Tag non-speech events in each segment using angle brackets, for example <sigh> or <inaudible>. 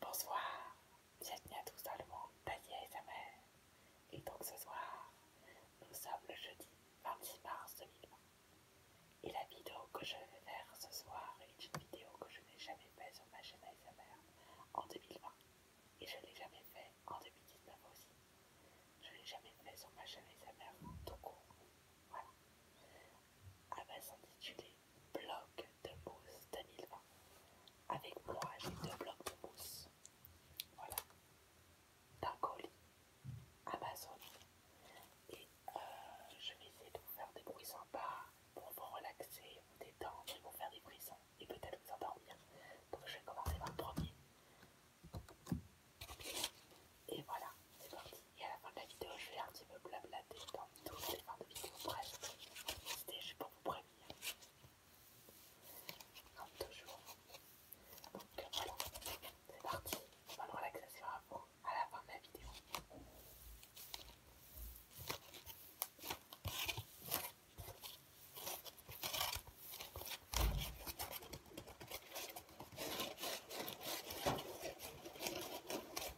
Bonsoir, bienvenue à tous dans le monde d'Alia et sa mère. Et donc ce soir, nous sommes le jeudi 26 mars 2020. Et la vidéo que je vais faire ce soir est une vidéo que je n'ai jamais faite sur ma chaîne ASMR en 2020. Et je ne l'ai jamais fait en 2019 aussi. Je ne l'ai jamais fait sur ma chaîne ASMR tout court. Voilà. Elle va s'intituler Blog de mousse 2020. Avec moi, j'ai deux blocs de mousse. Voilà. D'un colis Amazon. Et euh, je vais essayer de vous faire des bruits sympas pour vous relaxer, vous détendre et vous faire des bruits sympas et peut-être vous endormir. Donc je vais commencer par le premier. Et voilà, c'est parti. Et à la fin de la vidéo, je vais un petit peu blablater dans toutes les fins de vidéo. Bref, c'était je pour vous prévenir. Comme toujours. Donc voilà, c'est parti. Bonne relaxation à vous à la fin de la vidéo.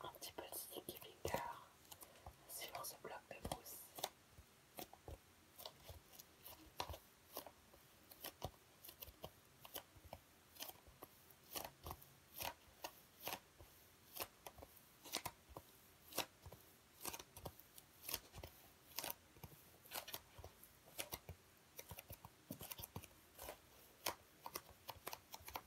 un petit peu de sticky finger sur ce bloc de mousse.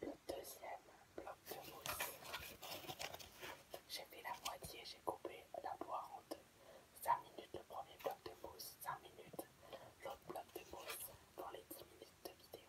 Le deuxième bloc de mousse. J'ai fait la moitié, j'ai coupé la poire en deux. 5 minutes le premier bloc de mousse, 5 minutes l'autre bloc de mousse pour les 10 minutes de vidéo.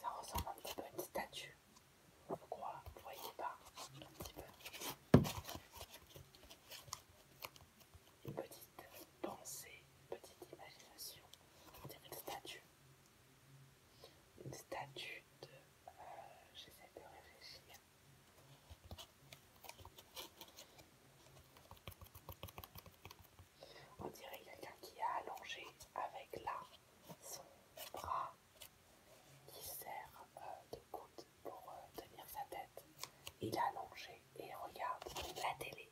ça ressemble un petit peu à une statue. Vous croyez, voyez pas un petit peu une petite pensée, une petite imagination. On dirait une statue. Une statue de... Euh, j'essaie de réfléchir. On dirait quelqu'un qui a allongé avec là son bras qui sert euh, de coude pour euh, tenir sa tête. Il est allongé et regarde la télé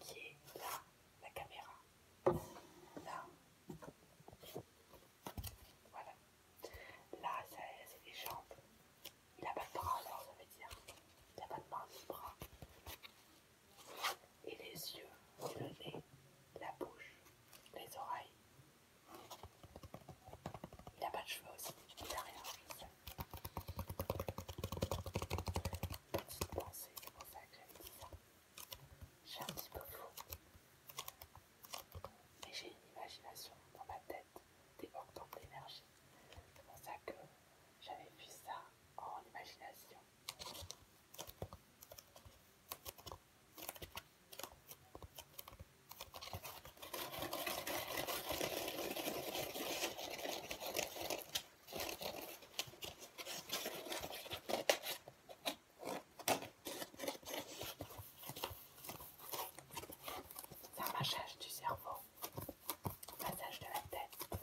qui est là, la caméra. Là. Voilà. Là, c'est les jambes. Il n'a pas de bras, alors ça veut dire. Il n'a pas de mains ni de bras. Et les yeux, le nez, la bouche, les oreilles. Il n'a pas de cheveux aussi, il n'a rien. Petite pensée, c'est pour ça que j'avais dit ça. J'ai un petit peu fou, Mais j'ai une imagination dans ma tête débordante d'énergie. C'est pour ça que j'avais vu ça en imagination. Un massage du cerveau, un massage de la tête.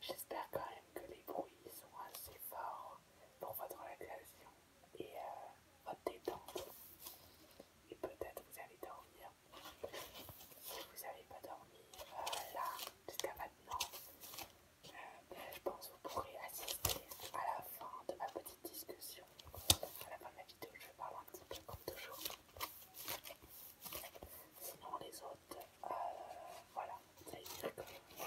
J'espère quand même que les bruits sont assez forts pour votre relaxation et euh, hop votre détente. Et peut-être vous allez dormir. Si vous n'avez pas dormi euh, là jusqu'à maintenant, euh, ben, je pense que vous pourrez assister à la fin de ma petite discussion. À la fin de ma vidéo, je parle un petit peu comme toujours. Sinon les autres, voilà, ça y est,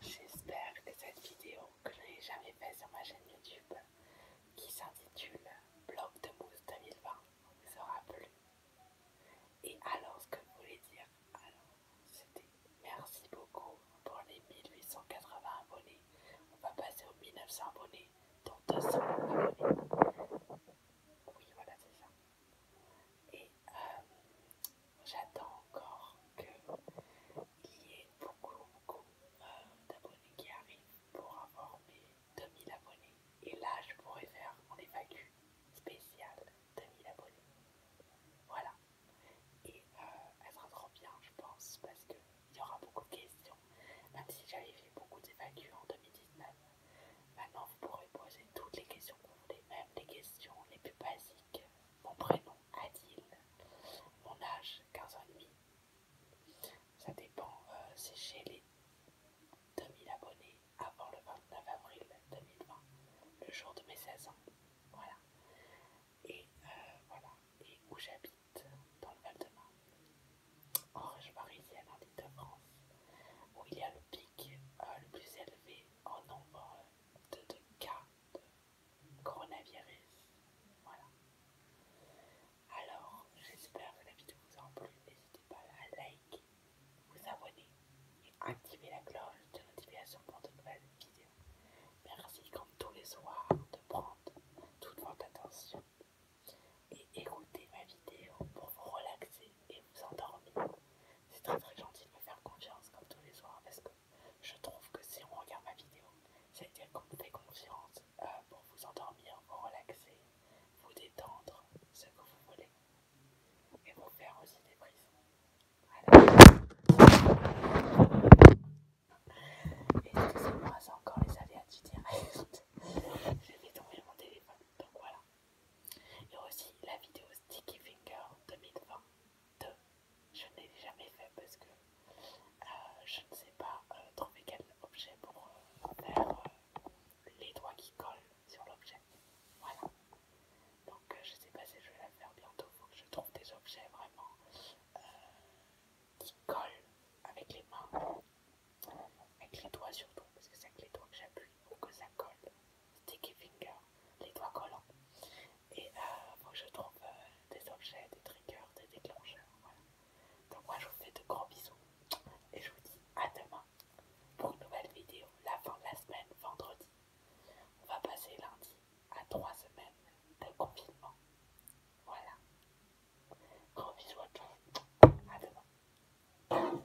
J'espère que cette vidéo que je n'ai jamais faite sur ma chaîne YouTube, qui s'intitule Blog de Mousse 2020, vous aura plu. Et alors, ce que je voulais dire, alors, c'était merci beaucoup pour les 1880 abonnés. On va passer aux 1900 abonnés, donc 200 abonnés. Oui, voilà, c'est ça. Et euh, j'attends encore qu'il y ait beaucoup, beaucoup euh, d'abonnés qui arrivent pour avoir mes 2000 abonnés. Et là, je pourrais faire mon évacu spécial 2000 abonnés. Voilà. Et ça euh, elle sera trop bien, je pense, parce qu'il y aura beaucoup de questions. Même si j'avais fait beaucoup d'évacu en 2019, maintenant vous pourrez poser toutes les questions que vous voulez, même les questions les plus basiques. Mon prénom, Adil. Mon âge, 15 ans et demi. Ça dépend, euh, c'est chez les 2000 abonnés avant le 29 avril 2020, le jour de mes 16 ans. Voilà. Et euh, voilà. Et où j'habite, dans le Val-de-Marne, en région parisienne, en Ile-de-France, où il y a le pic euh, le plus élevé en nombre de cas coronavirus. Voilà. Alors, j'espère que la vidéo vous a plu. N'hésitez pas à liker, vous abonner et activer la cloche de notification pour de nouvelles vidéos. Merci comme tous les soirs de prendre toute votre attention et écouter ma vidéo pour vous relaxer et vous endormir. C'est très très gentil de faire confiance comme tous les soirs parce que je trouve que si on regarde ma vidéo, c'est-à-dire qu'on vous fait confiance euh, pour vous endormir, vous relaxer, vous détendre, ce que vous voulez, et vous faire aussi des prises. Voilà. Excusez-moi, c'est encore les aléas du direct. <laughs> J'ai vais tomber mon téléphone, donc voilà. Et aussi la vidéo Sticky Finger 2022, je Je n'ai jamais fait parce que euh, je ne sais pas euh, trouver quel objet pour euh, faire les doigts qui collent sur l'objet. Voilà. Donc je ne sais pas si je vais la faire bientôt. Faut que je trouve des objets vraiment qui collent avec les mains, avec les doigts surtout, parce que c'est avec les doigts que j'appuie ou que ça colle sticky finger, les doigts collants. Et euh, que je trouve euh, des objets, des triggers, des déclencheurs. Donc moi je vous fais de gros bisous et je vous dis à demain pour une nouvelle vidéo. La fin de la semaine, vendredi. On va passer lundi à trois semaines de confinement. Voilà. Gros bisous à tous. À demain.